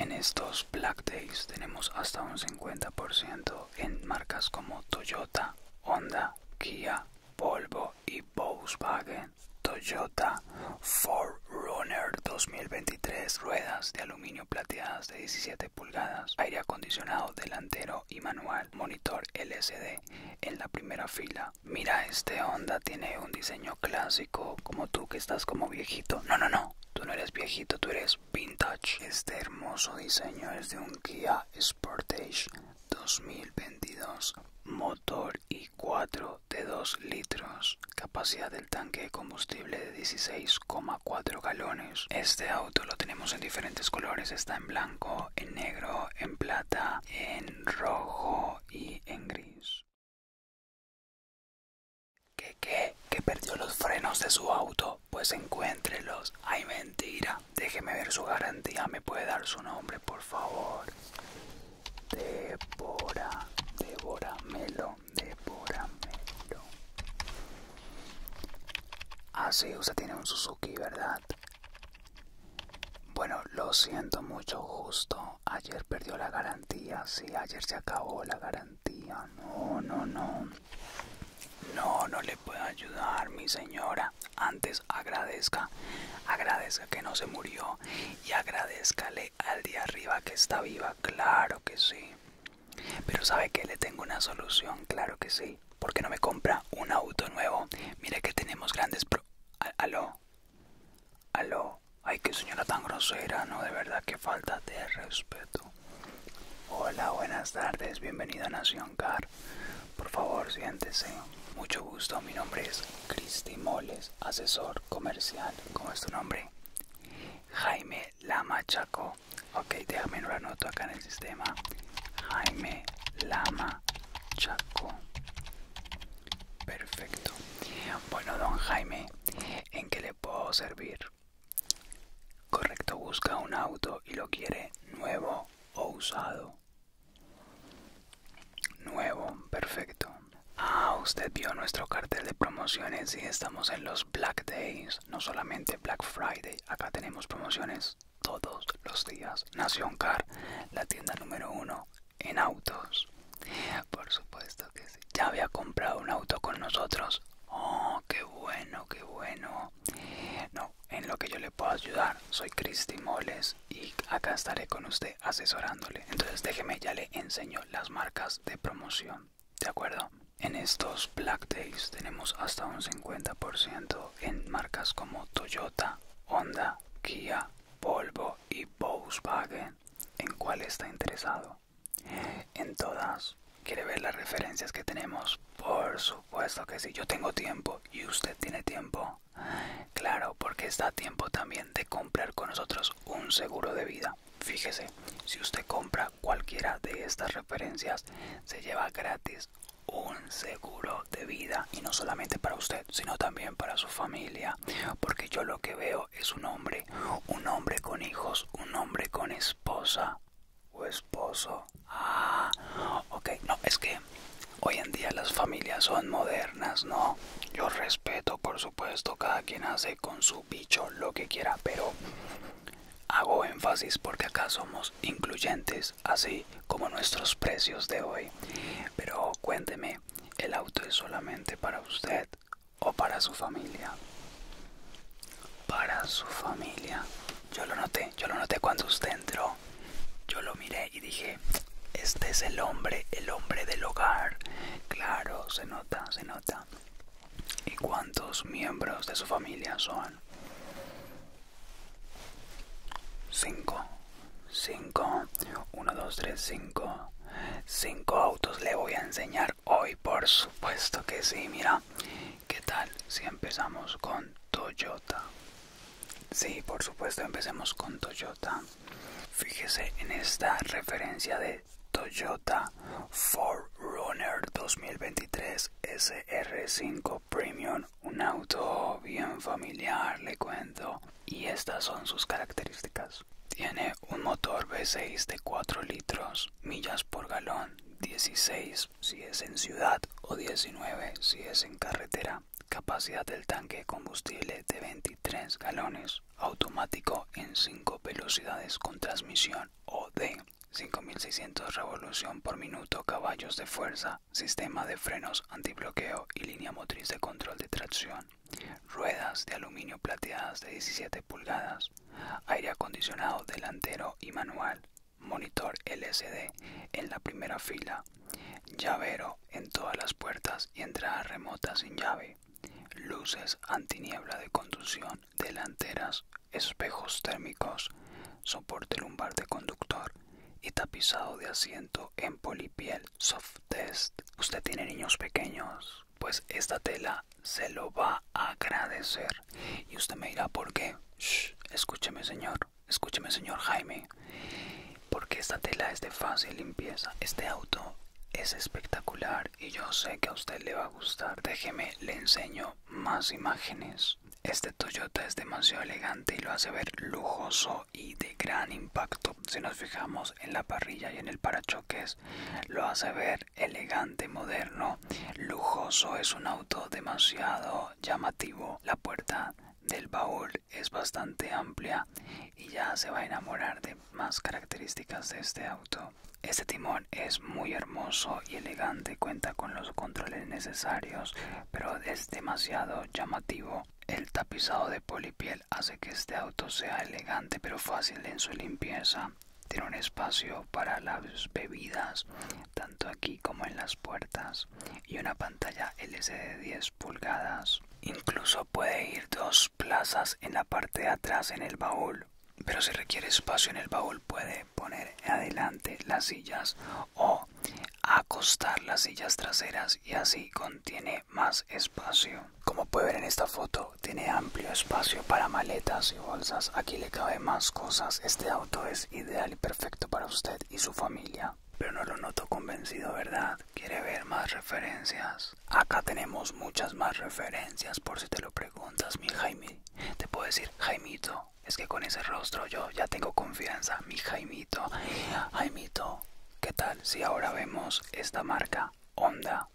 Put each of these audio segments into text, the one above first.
En estos Black Days tenemos hasta un 50% en marcas como Toyota, Honda, Kia, Volvo y Volkswagen. Toyota Ford runner 2023, ruedas de aluminio plateadas de 17 pulgadas, aire acondicionado delantero y manual monitor LSD en la primera fila. Mira, este Honda tiene un diseño clásico, como tú que estás como viejito. No, no, no, tú no eres viejito, tú eres vintage. Este hermoso diseño es de un Kia Sportage 2022, motor i4 de 2 litros, capacidad del tanque de combustible de 16,4 galones. Este auto lo tenemos en diferentes colores, está en blanco, en negro, en plata, en rojo y en gris. ¿Qué qué? ¿Que perdió los frenos de su auto? Pues encuéntrelos. Ay, mentira. Déjeme ver su garantía. ¿Me puede dar su nombre, por favor? Debora. Débora Melo, Así, Melo. Ah, usted tiene un Suzuki, ¿verdad? Bueno, lo siento mucho, justo. Ayer perdió la garantía. Sí, ayer se acabó la garantía. No, no, no. No, no le puedo ayudar, mi señora. Antes agradezca. Agradezca que no se murió. Y agradezcale al día arriba que está viva. Claro que sí. Pero sabe que le tengo una solución. Claro que sí. ¿Por qué no me compra un auto nuevo? Mira que tenemos grandes pro... Aló. Aló. Ay, qué señora tan grosera, ¿no? De verdad, que falta de respeto. Hola, buenas tardes. Bienvenido a Nación Car. Por favor, siéntese. Mucho gusto. Mi nombre es Cristi Moles, asesor comercial. ¿Cómo es tu nombre? Jaime Lamachaco. Okay, Ok, déjame lo anoto acá en el sistema. Jaime Lama Chaco. Perfecto. Bueno, don Jaime, ¿en qué le puedo servir? Correcto, busca un auto y lo quiere nuevo o usado. Nuevo, perfecto. Ah, usted vio nuestro cartel de promociones y estamos en los Black Days, no solamente Black Friday, acá tenemos promociones todos los días. Nación Car, la tienda número uno en autos. Por supuesto que sí. Ya había comprado un auto con nosotros. Oh, qué bueno, qué bueno. No, en lo que yo le puedo ayudar, soy Cristi Moles y acá estaré con usted asesorándole. Entonces déjeme, ya le enseño las marcas de promoción. ¿De acuerdo? En estos Black Days tenemos hasta un 50% en marcas como Toyota, Honda, Kia, Volvo y Volkswagen. ¿En cuál está interesado? En todas. ¿Quiere ver las referencias que tenemos? Por supuesto que sí. Yo tengo tiempo y usted tiene tiempo. Claro, porque está a tiempo también de comprar con nosotros un seguro de vida. Fíjese, si usted compra cualquiera de estas referencias, se lleva gratis un seguro de vida y no solamente para usted sino también para su familia porque yo lo que veo es un hombre un hombre con hijos un hombre con esposa o esposo ah ok no es que hoy en día las familias son modernas no yo respeto por supuesto cada quien hace con su bicho lo que quiera pero Hago énfasis porque acá somos incluyentes, así como nuestros precios de hoy. Pero cuénteme, ¿el auto es solamente para usted o para su familia? Para su familia. Yo lo noté, yo lo noté cuando usted entró. Yo lo miré y dije, este es el hombre, el hombre del hogar. Claro, se nota, se nota. ¿Y cuántos miembros de su familia son? 5 5 1 2 3 5 5 autos le voy a enseñar hoy por supuesto que sí mira qué tal si empezamos con Toyota sí por supuesto empecemos con Toyota fíjese en esta referencia de Toyota 4Runner 2023 SR5 premium, un auto bien familiar, le cuento. Y estas son sus características. Tiene un motor V6 de 4 litros, millas por galón, 16 si es en ciudad o 19 si es en carretera. Capacidad del tanque de combustible de 23 galones, automático en 5 velocidades con transmisión OD. 5600 revolución por minuto, caballos de fuerza, sistema de frenos antibloqueo y línea motriz de control de tracción, ruedas de aluminio plateadas de 17 pulgadas, aire acondicionado delantero y manual, monitor LCD en la primera fila, llavero en todas las puertas y entrada remota sin llave, luces antiniebla de conducción delanteras espejos térmicos, soporte lumbar de conductor y tapizado de asiento en polipiel soft test. Usted tiene niños pequeños, pues esta tela se lo va a agradecer. Y usted me dirá por qué. escúcheme señor, escúcheme señor Jaime. Porque esta tela es de fácil limpieza. Este auto es espectacular y yo sé que a usted le va a gustar. Déjeme, le enseño más imágenes. Este Toyota es demasiado elegante y lo hace ver lujoso y de gran impacto. Si nos fijamos en la parrilla y en el parachoques, lo hace ver elegante, moderno, lujoso. Es un auto demasiado llamativo. La puerta del baúl es bastante amplia y ya se va a enamorar de más características de este auto. Este timón es muy hermoso y elegante, cuenta con los controles necesarios, pero es demasiado llamativo. El tapizado de polipiel hace que este auto sea elegante pero fácil en su limpieza. Tiene un espacio para las bebidas, tanto aquí como en las puertas, y una pantalla LCD de 10 pulgadas. Incluso puede ir dos plazas en la parte de atrás en el baúl, pero si requiere espacio en el baúl puede poner adelante las sillas o acostar las sillas traseras y así contiene más espacio. Como puede ver en esta foto, tiene amplio espacio para maletas y bolsas. Aquí le cabe más cosas. Este auto es ideal y perfecto para usted y su familia. Pero no lo noto convencido, ¿verdad? ¿Quiere ver más referencias? Acá tenemos muchas más referencias por si te lo preguntas, mi Jaime. Te puedo decir Jaimito es que con ese rostro yo ya tengo confianza, mi Jaimito. Jaimito, ¿qué tal si ahora vemos esta marca Honda?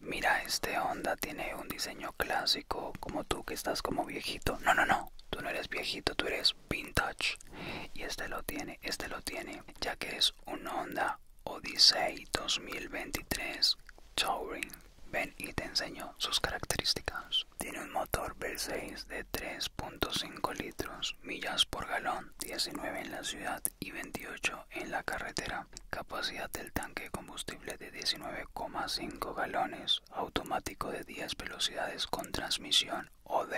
Mira, este Honda tiene un diseño clásico, como tú que estás como viejito. No, no, no, tú no eres viejito, tú eres vintage. Y este lo tiene, este lo tiene, ya que es un Honda Odyssey 2023 Touring Ven y te enseño sus características. Tiene un motor V6 de 3.5 litros, millas por galón, 19 en la ciudad y 28 en la carretera. Capacidad del tanque de combustible de 19,5 galones, automático de 10 velocidades con transmisión OD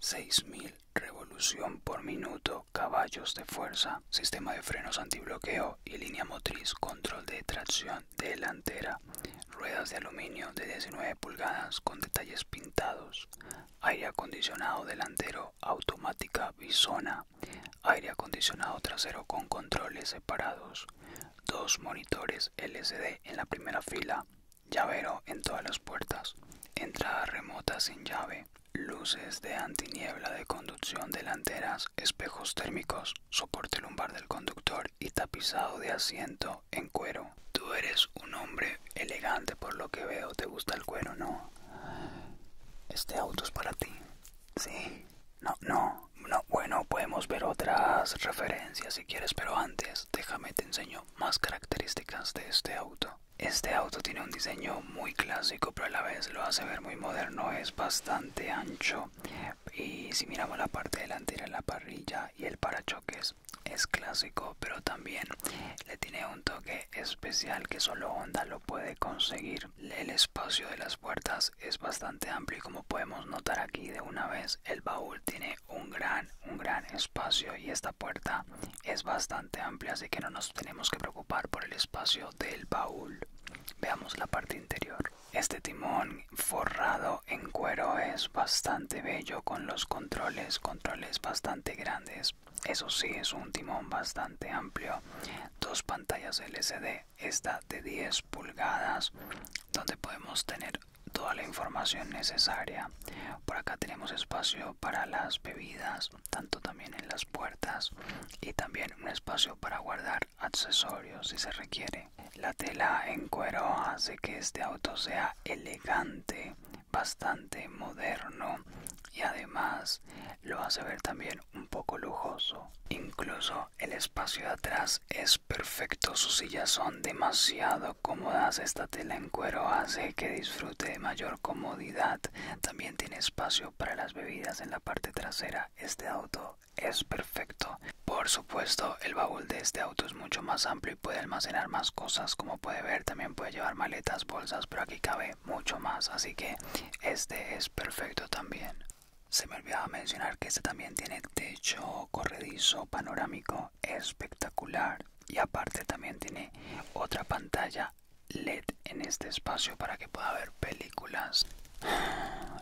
6.000 revolución por minuto, caballos de fuerza, sistema de frenos antibloqueo y línea motriz, control de tracción delantera, ruedas de aluminio de 19 pulgadas con detalles pintados, aire acondicionado delantero automática bisona, aire acondicionado trasero con controles separados, dos monitores LCD en la primera fila, llavero en todas las puertas, entrada remota sin llave, luces de antiniebla de conducción delanteras espejos térmicos, soporte lumbar del conductor y tapizado de asiento en cuero. Tú eres un hombre elegante por lo que veo, te gusta el cuero, ¿no? Este auto es para ti. Sí. No, no, no. Bueno, podemos ver otras referencias si quieres, pero antes déjame te enseño más características de este auto. Este auto tiene un diseño muy clásico, pero a la vez lo hace ver muy moderno. Es bastante ancho y si miramos la parte delantera la parrilla y el parachoques es clásico pero también le tiene un toque especial que solo Honda lo puede conseguir el espacio de las puertas es bastante amplio y como podemos notar aquí de una vez el baúl tiene un gran un gran espacio y esta puerta es bastante amplia así que no nos tenemos que preocupar por el espacio del baúl veamos la parte interior este timón forrado en cuero es bastante bello con los controles, controles bastante grandes. Eso sí, es un timón bastante amplio. Dos pantallas LCD, esta de 10 pulgadas, donde podemos tener toda la información necesaria. Por acá tenemos espacio para las bebidas, tanto también en las puertas, y también un espacio para guardar accesorios si se requiere. La tela en cuero hace que este auto sea elegante, bastante moderno y además lo hace ver también un poco lujoso. Incluso el espacio de atrás es perfecto, sus sillas son demasiado cómodas, esta tela en cuero hace que disfrute de mayor comodidad, también tiene espacio para las bebidas en la parte trasera, este auto es perfecto. Por supuesto, el baúl de este auto es mucho más amplio y puede almacenar más cosas. Como puede ver, también puede llevar maletas, bolsas, pero aquí cabe mucho más. Así que este es perfecto también. Se me olvidaba mencionar que este también tiene techo corredizo panorámico espectacular. Y aparte también tiene otra pantalla LED en este espacio para que pueda ver películas.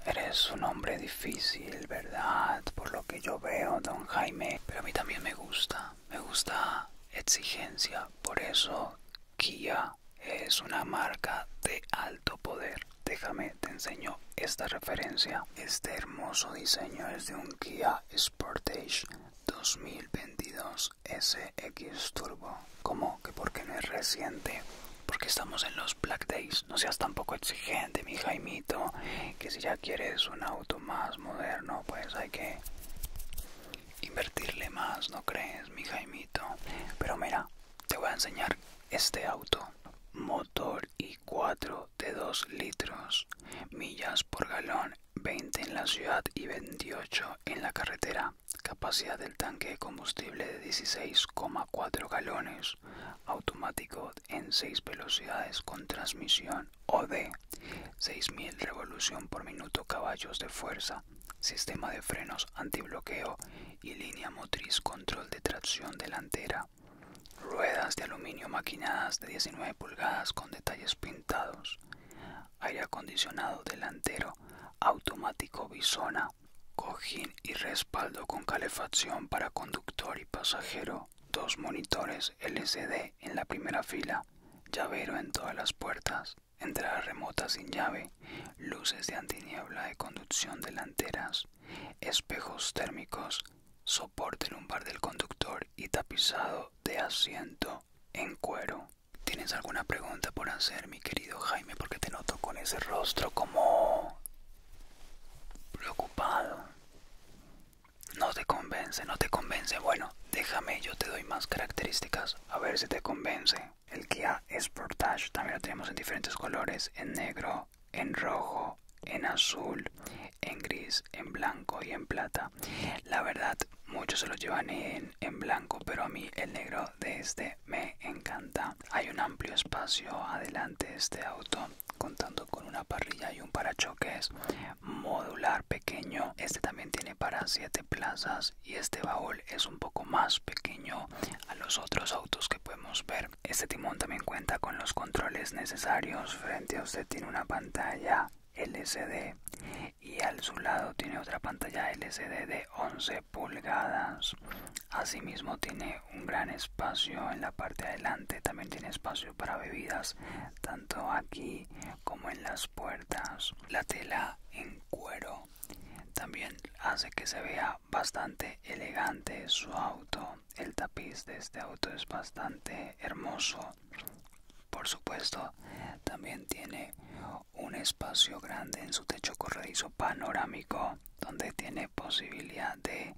Eres un hombre difícil, ¿verdad? Por lo que yo veo, don Jaime. Pero a mí también me gusta. Me gusta exigencia. Por eso, Kia es una marca de alto poder. Déjame, te enseño esta referencia. Este hermoso diseño es de un Kia Sportage 2022 SX Turbo. ¿Cómo? ¿Que por qué no es reciente? Porque estamos en los Black Days. No seas tan poco exigente, mi Jaimito. Que si ya quieres un auto más moderno, pues hay que invertirle más, ¿no crees, mi Jaimito? Pero mira, te voy a enseñar este auto. Motor i4 de 2 litros, millas por galón, 20 en la ciudad y 28 en la carretera capacidad del tanque de combustible de 16,4 galones, automático en 6 velocidades con transmisión OD, 6000 revolución por minuto caballos de fuerza, sistema de frenos antibloqueo y línea motriz control de tracción delantera. Ruedas de aluminio maquinadas de 19 pulgadas con detalles pintados. Aire acondicionado delantero automático Bisona cojín y respaldo con calefacción para conductor y pasajero, dos monitores LCD en la primera fila, llavero en todas las puertas, entrada remota sin llave, luces de antiniebla de conducción delanteras, espejos térmicos, soporte lumbar del conductor y tapizado de asiento en cuero. ¿Tienes alguna pregunta por hacerme? querido Jaime, porque te noto con ese rostro como preocupado. No te convence, no te convence. Bueno, déjame, yo te doy más características. A ver si te convence. El Kia Sportage también lo tenemos en diferentes colores, en negro, en rojo, en azul, en gris, en blanco y en plata. La verdad, muchos se lo llevan en, en blanco, pero a mí el negro de este me encanta. Hay un amplio espacio adelante de este auto contando con una parrilla y un parachoques modular pequeño. Este también tiene para 7 plazas y este baúl es un poco más pequeño a los otros autos que podemos ver. Este timón también cuenta con los controles necesarios. Frente a usted tiene una pantalla LCD y al su lado tiene otra pantalla LCD de 11 pulgadas. Asimismo tiene un gran espacio en la parte de adelante, también tiene espacio para bebidas, tanto aquí como en las puertas. La tela en cuero también hace que se vea bastante elegante su auto. El tapiz de este auto es bastante hermoso. Por supuesto, también tiene un espacio grande en su techo corredizo panorámico donde tiene posibilidad de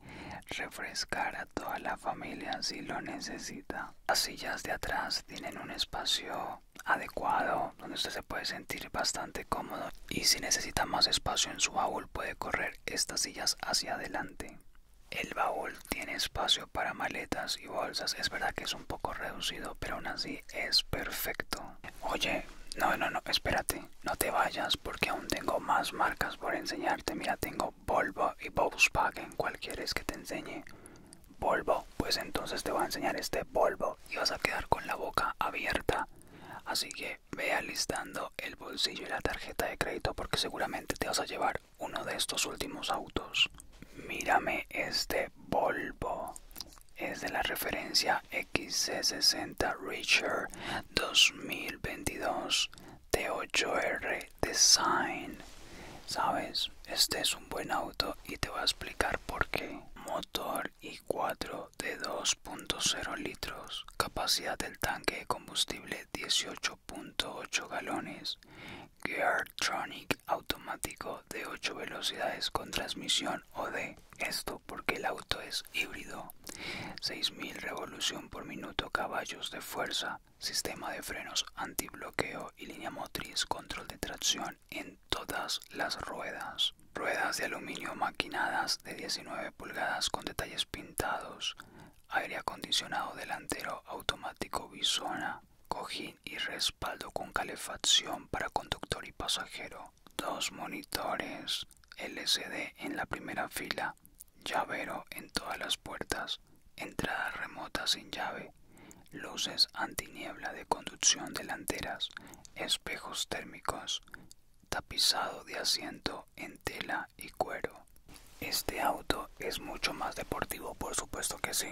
refrescar a toda la familia si lo necesita. Las sillas de atrás tienen un espacio adecuado donde usted se puede sentir bastante cómodo y si necesita más espacio en su baúl puede correr estas sillas hacia adelante. El baúl tiene espacio para maletas y bolsas, es verdad que es un poco reducido, pero aún así es perfecto. Oye, no, no, no, espérate. No te vayas porque aún tengo más marcas por enseñarte. Mira, tengo Volvo y Volkswagen. Cualquiera es que te enseñe? Volvo. Pues entonces te voy a enseñar este Volvo y vas a quedar con la boca abierta. Así que ve alistando el bolsillo y la tarjeta de crédito porque seguramente te vas a llevar uno de estos últimos autos. Mírame este Volvo. Es de la referencia XC60 Richard 2022 T8R Design. Sabes, este es un buen auto y te voy a explicar por qué. Motor i4 de 2.0 litros, capacidad del tanque de combustible 18.8 galones, Geartronic automático de 8 velocidades con transmisión o de esto porque el auto es híbrido 6000 revolución por minuto caballos de fuerza sistema de frenos antibloqueo y línea motriz control de tracción en todas las ruedas ruedas de aluminio maquinadas de 19 pulgadas con detalles pintados aire acondicionado delantero automático bisona cojín y respaldo con calefacción para conductor y pasajero dos monitores LCD en la primera fila, llavero en todas las puertas, entrada remota sin llave, luces antiniebla de conducción delanteras, espejos térmicos, tapizado de asiento en tela y cuero. Este auto es mucho más deportivo, por supuesto que sí,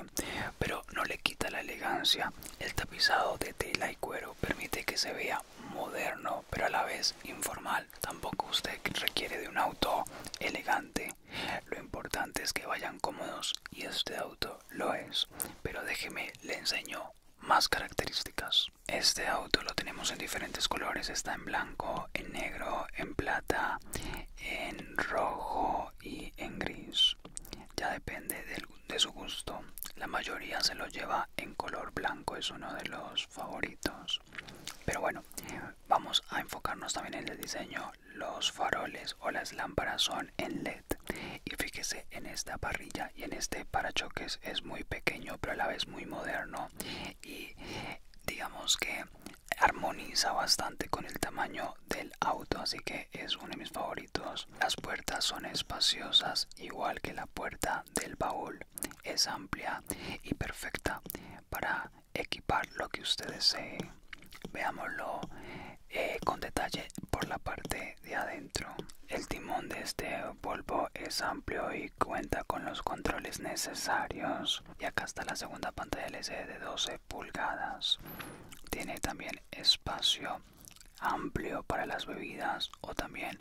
pero no le quita la elegancia el tapizado de tela y cuero permite que se vea moderno pero a la vez informal. Tampoco usted requiere de un auto elegante. Lo importante es que vayan cómodos y este auto lo es. Pero déjeme, le enseño más características. Este auto lo tenemos en diferentes colores. Está en blanco, en negro, en plata, en rojo y en gris. Ya depende del de su gusto. La mayoría se lo lleva en color blanco, es uno de los favoritos. Pero bueno, vamos a enfocarnos también en el diseño. Los faroles o las lámparas son en LED. Y fíjese en esta parrilla y en este parachoques es muy pequeño, pero a la vez muy moderno. Y digamos que armoniza bastante con el tamaño del auto, así que es uno de mis favoritos las puertas son espaciosas, igual que la puerta del baúl. Es amplia y perfecta para equipar lo que usted desee. Veámoslo eh, con detalle por la parte de adentro. El timón de este Volvo es amplio y cuenta con los controles necesarios. Y acá está la segunda pantalla LCD de 12 pulgadas. Tiene también espacio amplio para las bebidas o también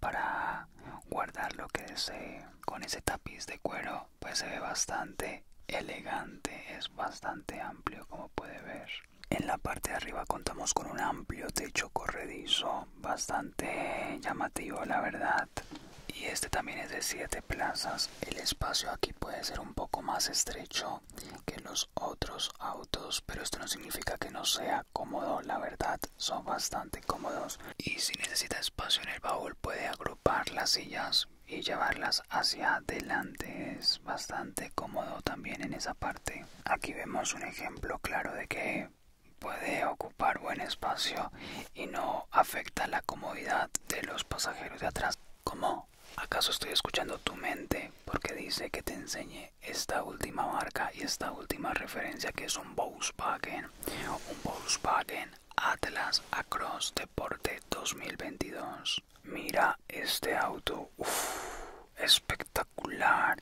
para guardar lo que desee con ese tapiz de cuero pues se ve bastante elegante es bastante amplio como puede ver en la parte de arriba contamos con un amplio techo corredizo bastante llamativo la verdad y este también es de siete plazas el espacio aquí puede ser un poco más estrecho que los otros autos, pero esto no significa que no sea cómodo, la verdad son bastante cómodos y si necesita espacio en el baúl puede agrupar las sillas y llevarlas hacia adelante es bastante cómodo también en esa parte aquí vemos un ejemplo claro de que puede ocupar buen espacio y no afecta la comodidad de los pasajeros de atrás como ¿Acaso estoy escuchando tu mente? Porque dice que te enseñe esta última marca y esta última referencia que es un Volkswagen. Un Volkswagen Atlas Across Deporte 2022. Mira este auto. espectacular.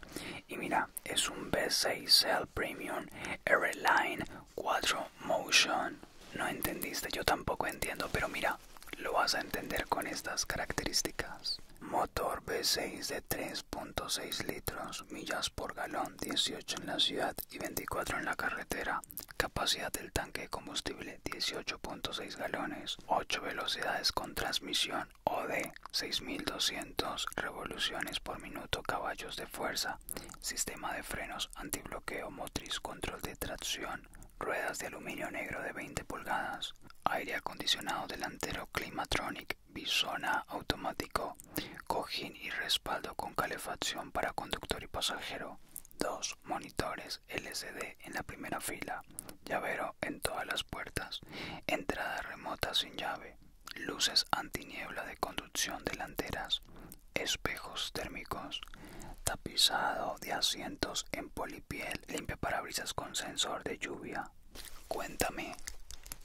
Y mira, es un V6L Premium R-Line 4 Motion. No entendiste, yo tampoco entiendo, pero mira, lo vas a entender con estas características. Motor V6 de 3.6 litros, millas por galón, 18 en la ciudad y 24 en la carretera. Capacidad del tanque de combustible 18.6 galones, 8 velocidades con transmisión OD, 6200 revoluciones por minuto, caballos de fuerza, sistema de frenos, antibloqueo motriz, control de tracción ruedas de aluminio negro de 20 pulgadas, aire acondicionado delantero Climatronic, bisona automático, cojín y respaldo con calefacción para conductor y pasajero, dos monitores LCD en la primera fila, llavero en todas las puertas, entrada remota sin llave, luces antiniebla de conducción delanteras, espejos térmicos, tapizado de asientos en polipiel parabrisas con sensor de lluvia. Cuéntame,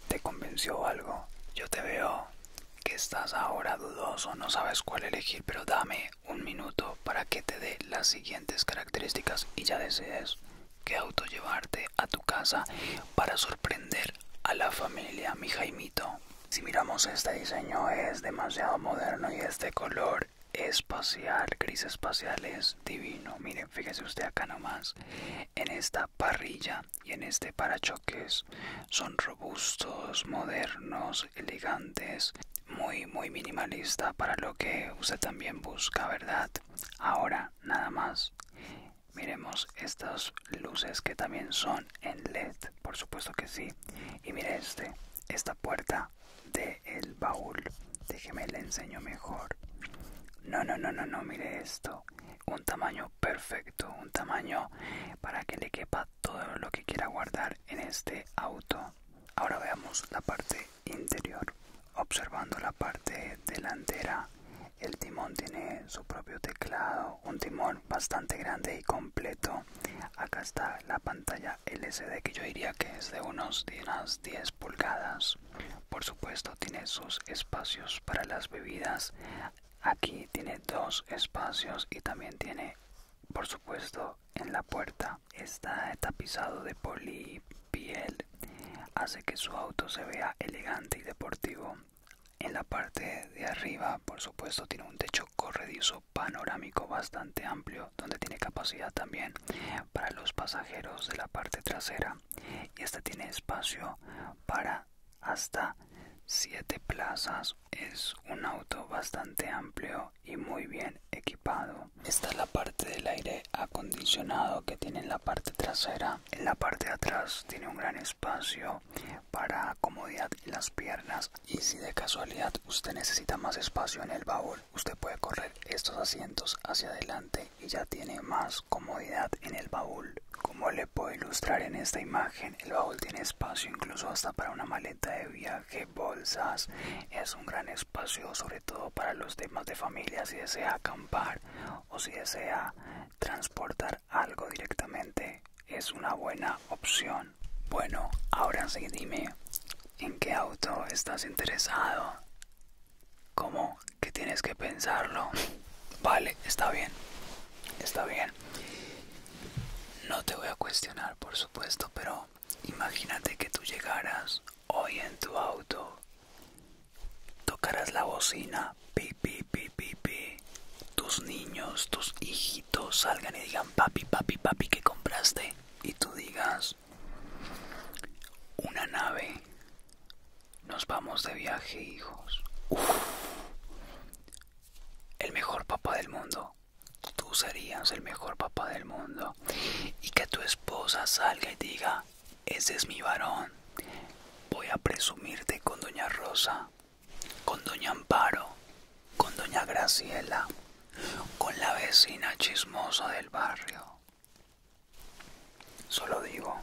¿te convenció algo? Yo te veo que estás ahora dudoso, no sabes cuál elegir, pero dame un minuto para que te dé las siguientes características y ya decides qué auto llevarte a tu casa para sorprender a la familia, mi Jaimito. Si miramos este diseño es demasiado moderno y este color espacial, gris espacial es divino. Miren, fíjese usted acá nomás. En esta parrilla y en este parachoques son robustos, modernos, elegantes, muy, muy minimalista para lo que usted también busca, ¿verdad? Ahora, nada más. Miremos estas luces que también son en LED, por supuesto que sí. Y mire este, esta puerta de el baúl. Déjeme le enseño mejor. No, no, no, no, no, mire esto. Un tamaño perfecto, un tamaño para que le quepa todo lo que quiera guardar en este auto. Ahora veamos la parte interior. Observando la parte delantera, el timón tiene su propio teclado, un timón bastante grande y completo. Acá está la, pantalla LCD que yo diría que es de unos 10 pulgadas por supuesto tiene sus espacios para las bebidas aquí tiene dos espacios y también tiene por supuesto en la puerta está tapizado de polipiel hace que su auto se vea elegante y deportivo en la parte de arriba por supuesto tiene un techo corredizo panorámico bastante amplio donde tiene capacidad también para los pasajeros de la parte trasera y esta tiene espacio para hasta 7 plazas. Es un auto bastante amplio y muy bien equipado. Esta es la parte del aire acondicionado que tiene en la parte trasera. En la parte de atrás tiene un gran espacio para comodidad las piernas y si de casualidad usted necesita más espacio en el baúl usted puede correr estos asientos hacia adelante y ya tiene más comodidad en el baúl como le puedo ilustrar en esta imagen el baúl tiene espacio incluso hasta para una maleta de viaje bolsas es un gran espacio sobre todo para los temas de familia si desea acampar o si desea transportar algo directamente es una buena opción bueno ahora sí dime en qué auto estás interesado. ¿Cómo? que tienes que pensarlo. Vale, está bien. Está bien. No te voy a cuestionar, por supuesto, pero imagínate que tú llegaras hoy en tu auto, tocarás la bocina, pi, pi, pi, pi, Tus niños, tus hijitos salgan y digan, papi, papi, papi, ¿qué compraste? Y tú digas, una nave. Nos vamos de viaje, hijos. El mejor papá del mundo. Tú serías el mejor papá del mundo. Y que tu esposa salga y diga, ese es mi varón. Voy a presumirte con Doña Rosa, con Doña Amparo, con Doña Graciela con la vecina chismosa del barrio. Solo digo,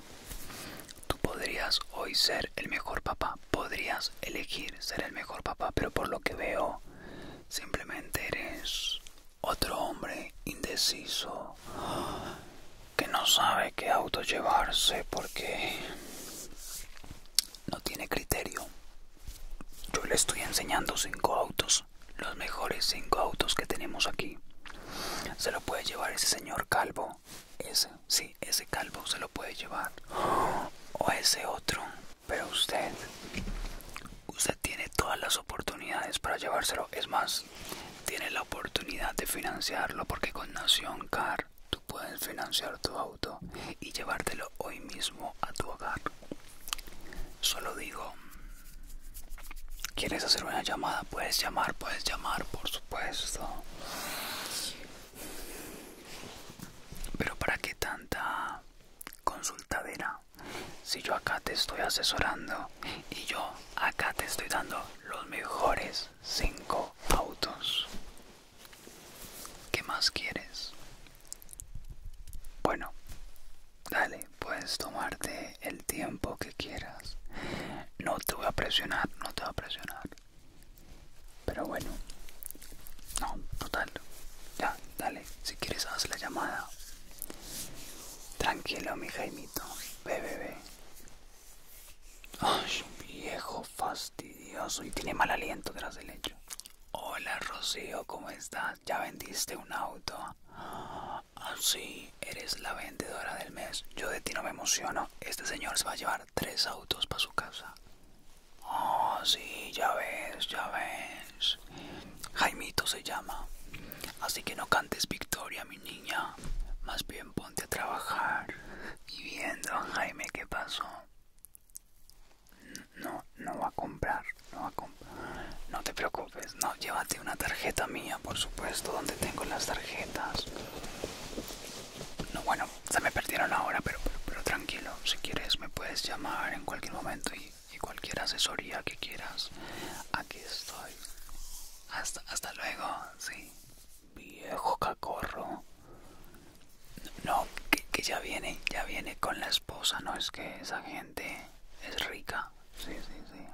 tú podrías hoy ser el mejor papá, podrías elegir ser el mejor papá, pero por lo que veo, simplemente eres otro hombre indeciso que no sabe qué auto llevarse porque no tiene criterio, yo le estoy enseñando cinco autos, los mejores cinco autos que tenemos aquí. Se lo puede llevar ese señor calvo, ese, sí, ese calvo se lo puede llevar. O ese otro, pero usted, usted tiene todas las oportunidades para llevárselo. Es más, tiene la oportunidad de financiarlo porque con Nación Car tú puedes financiar tu auto y llevártelo hoy mismo a tu hogar. Solo digo, ¿quieres hacer una llamada? Puedes llamar, puedes llamar, por supuesto. Pero ¿para qué tanta consultadera? Si yo acá te estoy asesorando y yo acá te estoy dando los mejores Cinco autos. ¿Qué más quieres? Bueno, Dale, puedes tomarte el tiempo que quieras. No te voy a presionar, no te voy a presionar. Pero bueno, no, total. Ya, dale, si quieres haz la llamada. Tranquilo, mi Jaimito. Ve, ve, Ay, viejo fastidioso y tiene mal aliento tras el hecho. Hola, Rocío, ¿cómo estás? ya vendiste un auto. Así ah, eres la vendedora del mes. Yo de ti no me emociono. Este señor se va a llevar tres autos para su casa. Oh, sí, ya ves, ya ves. Jaimito se llama. Así que no cantes victoria, mi niña. Más bien ponte a trabajar. Y viendo, Jaime, ¿qué pasó? No, no va a comprar, no No te preocupes, no, llévate una tarjeta mía, por supuesto, donde tengo las tarjetas. No, bueno, se me perdieron ahora, pero, pero, tranquilo, si quieres me puedes llamar en cualquier momento y, cualquier asesoría que quieras. Aquí estoy. Hasta, hasta luego, sí. Viejo cacorro. No, que, que ya viene, ya viene con las esposa, no es que esa gente es rica. Sí, sí, sí.